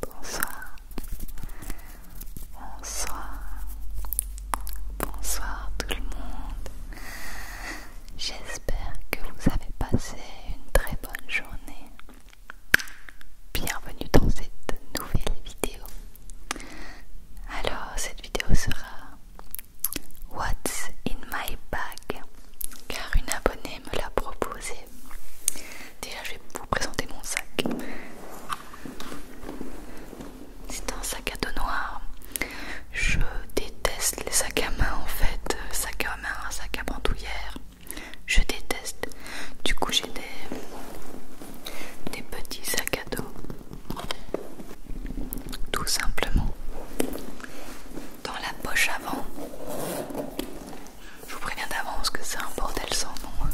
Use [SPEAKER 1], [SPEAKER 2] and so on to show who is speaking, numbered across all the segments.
[SPEAKER 1] Bonsoir, bonsoir, bonsoir tout le monde. J'espère que vous avez passé une très bonne journée. Bienvenue dans cette nouvelle vidéo. Alors, cette vidéo sera What's in my bag car une abonnée me l'a proposé. Déjà, je vais vous présenter mon sac. C'est un sac à dos noir. Je déteste les sacs à main en fait. Sac à main, sac à bandoulière. Je déteste. Du coup, j'ai des, des petits sacs à dos. Tout simplement. Dans la poche avant, je vous préviens d'avance que c'est un bordel sans nom. Hein.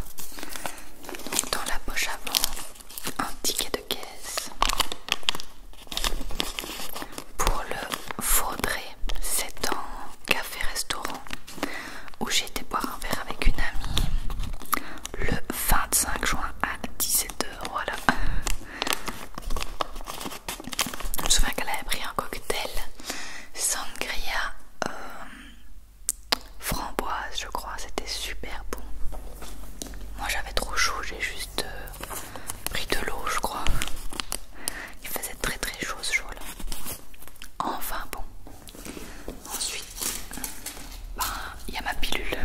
[SPEAKER 1] dans la poche avant, un ticket de caisse. Pour le faudrait. c'est un café-restaurant où j'ai été boire un verre avec une amie le 25 juin à 17h. Voilà. Je me souviens qu'elle avait pris un cocktail sangria euh, framboise, je crois. C'était super bon. Moi j'avais trop chaud, j'ai juste euh, pris de l'eau, je crois. Il faisait très très chaud ce jour-là. Enfin bon. Ensuite, ben, il y a ma pilule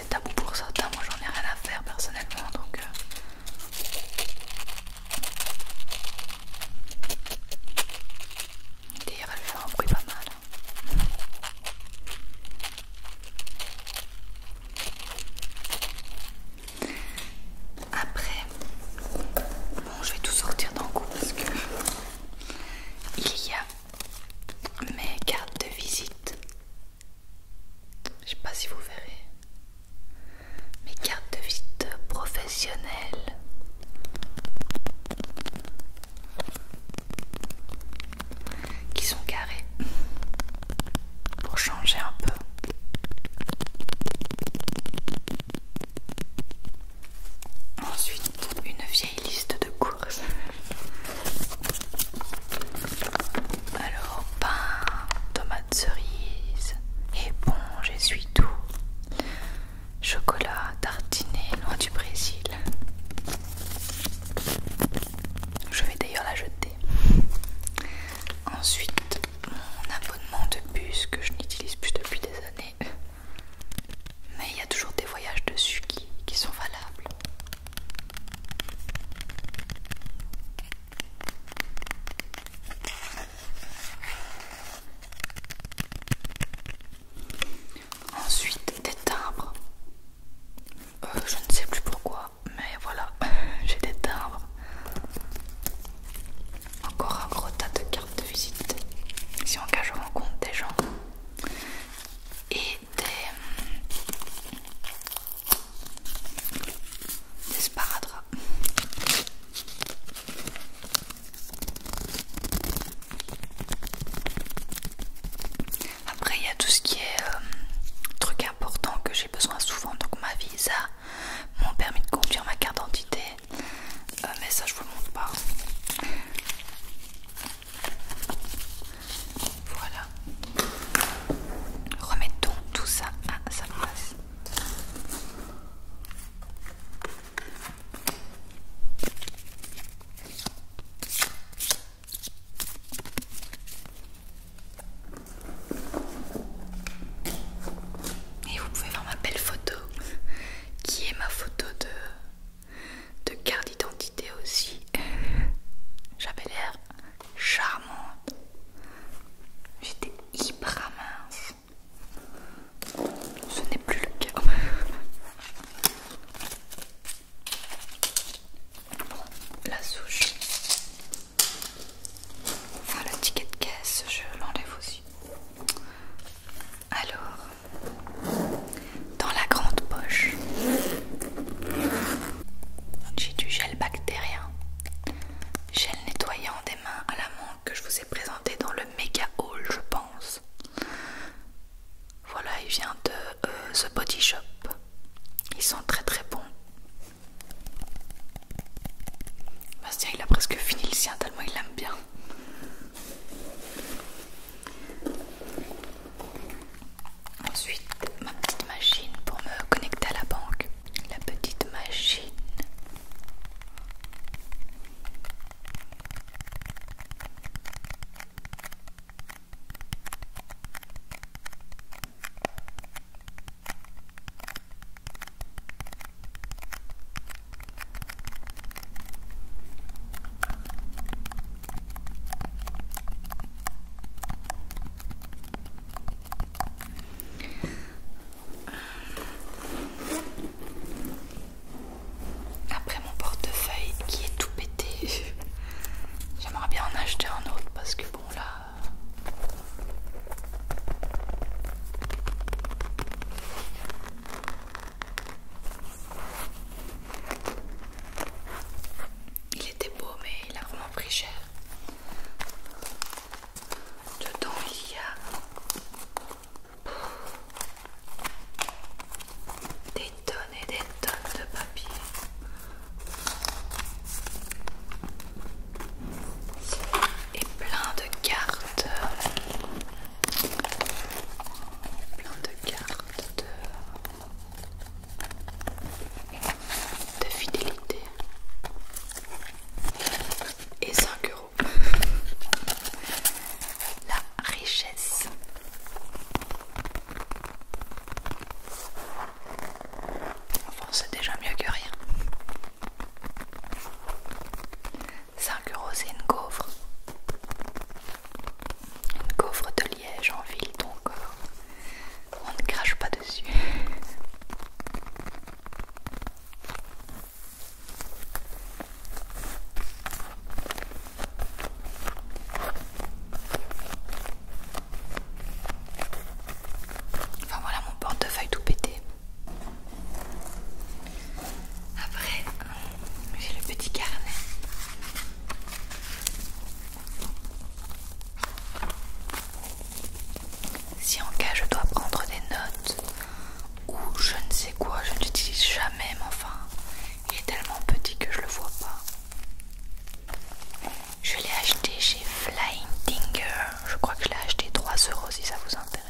[SPEAKER 1] c'est tabou pour ça, moi j'en ai rien à faire personnellement donc. Euh... D'ailleurs, elle fait un bruit pas mal. Après, bon, je vais tout sortir d'un coup parce que il y a mes cartes de visite je sais pas si vous verrez. Mes cartes de visite professionnelles. Qui sont carrées. Pour changer un peu. Ensuite, une vieille liste de courses. Alors, pain, et bon, j'y suis tout, chocolat, tartiné, loin du Brésil. Je vais d'ailleurs la jeter. Ensuite, mon abonnement de bus que je n'utilise plus depuis des années. Mais il y a toujours des voyages dessus qui sont valables. Ensuite, des timbres. Euh, je ne sais plus pourquoi, mais voilà, j'ai des timbres. Encore un gros tas de cartes de visite. Si on cas je rencontre des gens. Et des, des sparadraps. Après, il y a tout ce qui est euh, truc important que j'ai besoin souvent, donc ma visa, mon permis de conduire, ma carte d'identité, euh, mais ça je vous le montre pas. Voilà. Remettons tout ça à sa place. Et vous pouvez voir ma belle photo, qui est ma photo de, de carte d'identité aussi. J'avais l'air charmante. J'étais hyper mince. Ce n'est plus le cas. La souche. Enfin, le ticket de caisse, je l'enlève aussi. Alors, dans la grande poche, j'ai du gel bactérien, gel nettoyant des mains à la montre que je vous ai présenté dans le méga hall, je pense. Voilà, il vient de euh, The Body Shop. Ils sont très très bons. Bastien, il a presque fini le sien tellement il l'aime bien. Ensuite, ma petite machine pour me connecter à la banque. La petite machine. Après mon portefeuille qui est tout pété, j'aimerais bien en acheter un autre parce que bon là... Il était beau, mais il a vraiment pris cher. Dedans, il y a des tonnes et des tonnes de papier. Et plein de cartes. Plein de cartes de de fidélité et 5 euros. La richesse. Enfin, c'est déjà mieux que rien. 5 euros, c'est une gaufre. Une gaufre de je en donc euh, on ne crache pas dessus. Enfin voilà mon portefeuille tout pété. Après, euh, j'ai le petit carnet si en cas je dois prendre des notes ou je ne sais quoi, je n'utilise jamais, mais enfin, il est tellement petit que je le vois pas. Je l'ai acheté chez Flying Tinger, je crois que je l'ai acheté 3 euros si ça vous intéresse.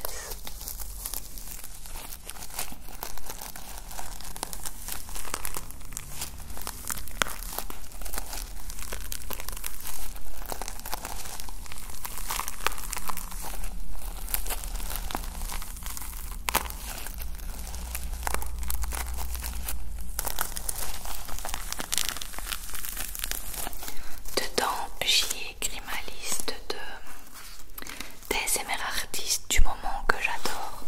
[SPEAKER 1] Dedans, j'y écris écrit ma liste de des artistes du moment que j'adore.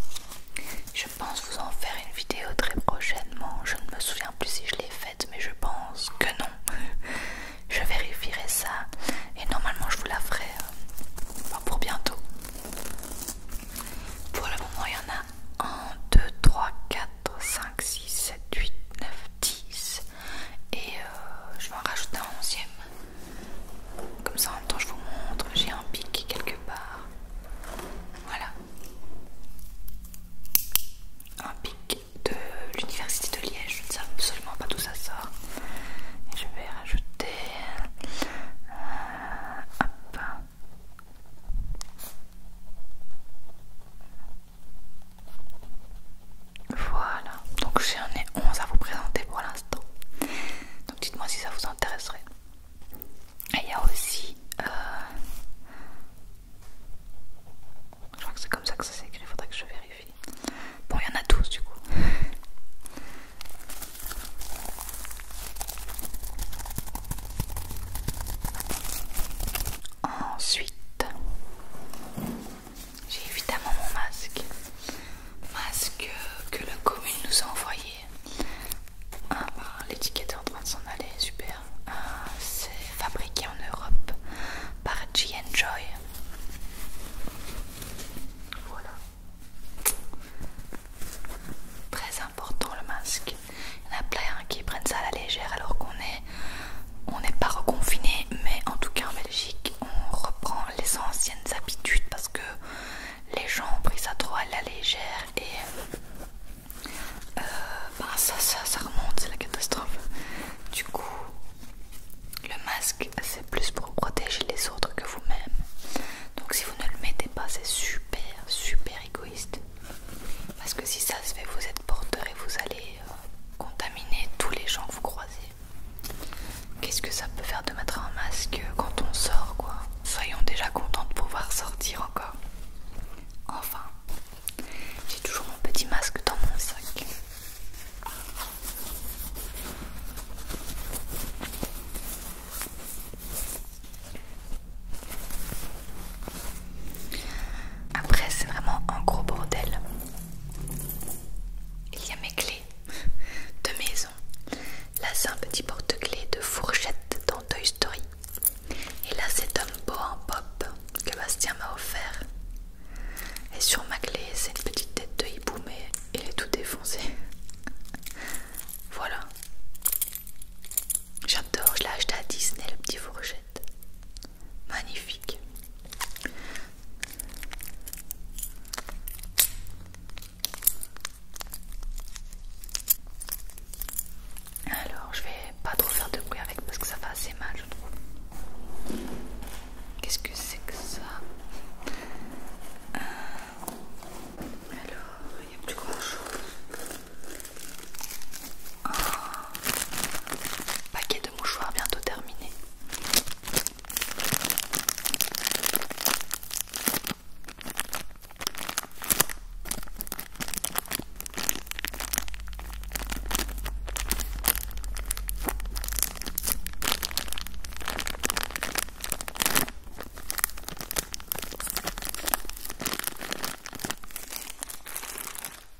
[SPEAKER 1] Je pense vous en faire une vidéo très prochainement. Je ne me souviens plus si je l'ai faite, mais je pense que non. je vérifierai ça et normalement je vous la ferai euh, pour bientôt. Pour le moment, il y en a un, deux, 3, 4, 5, 6, 7, 8, 9, 10. Et euh, je vais en rajouter un onzième. Comme ça, en temps, je vous montre. J'ai un pic quelque part. Voilà. Un pic de l'université de Liège. Je ne sais absolument pas d'où ça sort. je vais rajouter. un euh, pain. Voilà, donc j'en ai 11 à vous présenter pour l'instant. Donc dites-moi si ça vous intéresserait. Et il y a aussi. Euh, je crois que c'est comme ça que ça s'écrit, il faudrait que je vérifie. Bon, il y en a tous du coup. Ensuite, j'ai évidemment mon masque. Masque que la commune nous a envoyé ah, bah, l'étiquette est en train de s'en aller, super. Ah, c'est fabriqué en Europe par G Voilà. Très important le masque. Il y en a plein hein, qui prennent ça à la légère alors qu'on est on n'est pas reconfiné, mais en tout cas en Belgique, on reprend les anciennes habitudes parce que les gens ont pris ça trop à la légère et euh, ben, ça, ça, ça remonte, c'est la catastrophe. Du coup, le masque c'est plus pour protéger les autres que vous-même. Donc si vous ne le mettez pas, c'est super, super égoïste. Parce que si ça se fait, vous êtes porteur et vous allez euh, contaminer tous les gens que vous croisez. Qu'est-ce que ça peut faire de mettre un masque quand on sort, quoi Soyons déjà contents de pouvoir sortir encore. Enfin, j'ai toujours mon petit masque dans mon sac. Après, c'est vraiment un gros bordel. Il y a mes clés de maison, Là, c'est un petit porte-clés de fourchette dans Toy Story. Et là, c'est un Beau en Pop que Bastien m'a offert. Et sur ma clé, c'est une petite tête de hibou, mais il est tout défoncé. voilà. J'adore, je l'ai acheté à Disney, le petit fourchette. Magnifique. Alors, je vais pas trop faire de bruit avec parce que ça fait assez mal, je trouve. Qu'est-ce que c'est que ça euh, Alors, il n'y a plus grand chose. Oh, paquet de mouchoirs bientôt terminé.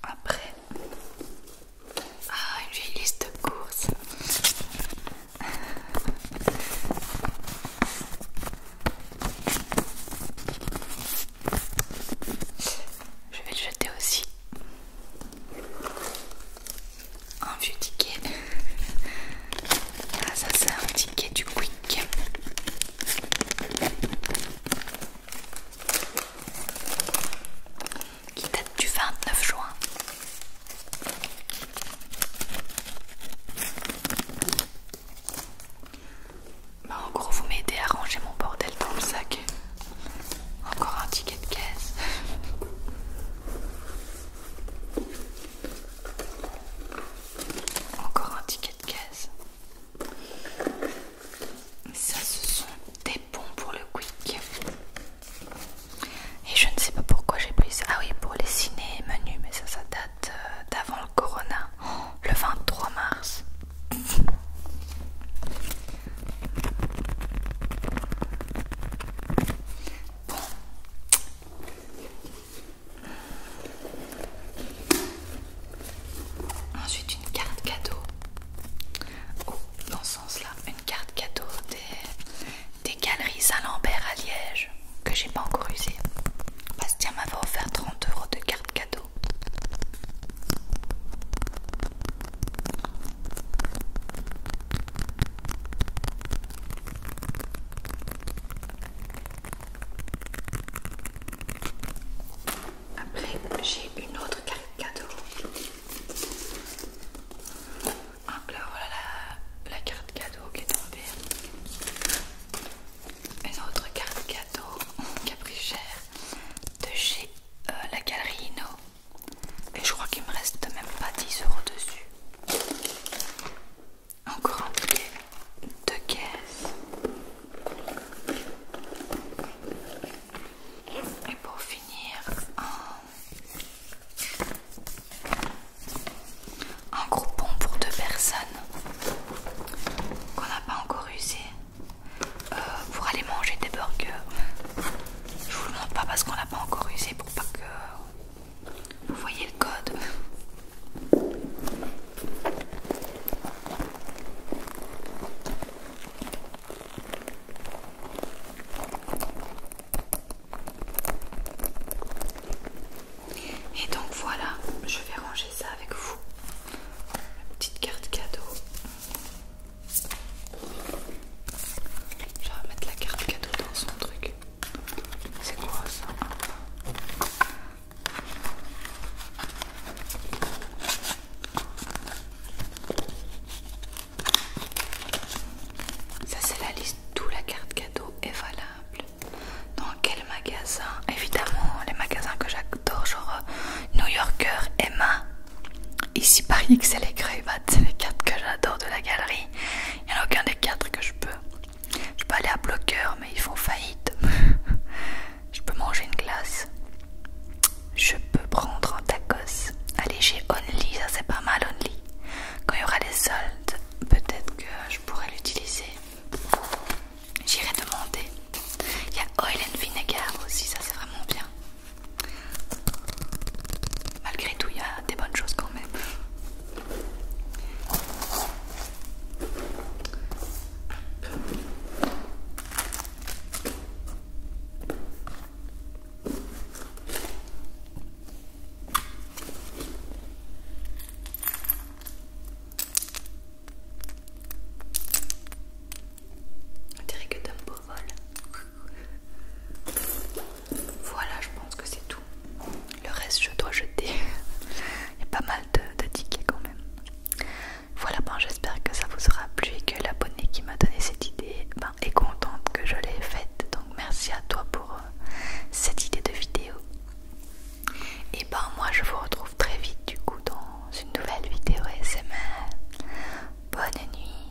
[SPEAKER 1] Après, ah, une vieille liste de courses. Je vais le jeter aussi. Un vieux ticket. Ah ça c'est un ticket du Quick. Qui date du 29 juin. Bah, en gros vous m'aidez à ranger mon bordel dans le sac. Encore un ticket de caisse. Encore un ticket de caisse. Ça, ce sont des bons pour le quick. Et je ne sais pas pourquoi j'ai pris ça. Ah oui, pour les ciné menus, mais ça, ça date euh, d'avant le corona, le 23 mars. Ensuite, une carte cadeau. Oh, dans ce sens-là, une carte cadeau des des galeries Saint-Lambert à Liège que j'ai pas encore usé. Bastien m'avait offert 30 euros de carte cadeau. Après, j'ai une autre carte cadeau. Ah, là voilà la, carte cadeau qui est tombée. Une autre carte cadeau qui a pris cher de chez euh, la galerie Inno. Et je crois qu'il me reste même pas 10 euros dessus. Encore un billet de caisse. Et pour finir, un un groupon pour deux personnes qu'on n'a pas encore usé euh, pour aller manger des burgers. Je vous le montre pas parce qu'on l'a pas encore usé pour pas que vous voyez le code. Et donc voilà, je vais ranger ça avec vous. La petite carte cadeau. Je vais mettre la carte cadeau dans son truc. C'est quoi ça Ça c'est la liste d'où la carte cadeau valable. Dans quel magasin Évidemment, les magasins que j'adore, genre euh, New Yorker, Emma. Ici, Paris, c'est les quatre c'est les cartes que j'adore de la galerie. Il n'y en a aucun des quatre que je peux. Je peux aller à Bloqueur, mais ils font faillite. je peux manger une glace. Je peux prendre un tacos. Allez, j'ai Only, ça c'est pas mal, Only. Quand il y aura des soldes, peut-être que je pourrai l'utiliser. J'irai demander. Il y a oil and vinegar aussi, ça c'est vraiment bien. Malgré tout, il y a des bonnes choses quand même. On dirait que Dumbo vole. Voilà, je pense que c'est tout. Le reste, je dois jeter. Il y a pas mal de, tickets quand même. Voilà, ben, j'espère que ça vous aura plu et que l'abonné qui m'a donné cette idée ben, est contente que je l'ai faite. Donc merci à toi pour cette idée de vidéo. Et ben moi je vous retrouve très vite du coup dans une nouvelle vidéo même Bonne nuit,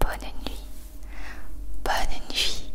[SPEAKER 1] bonne nuit, bonne nuit.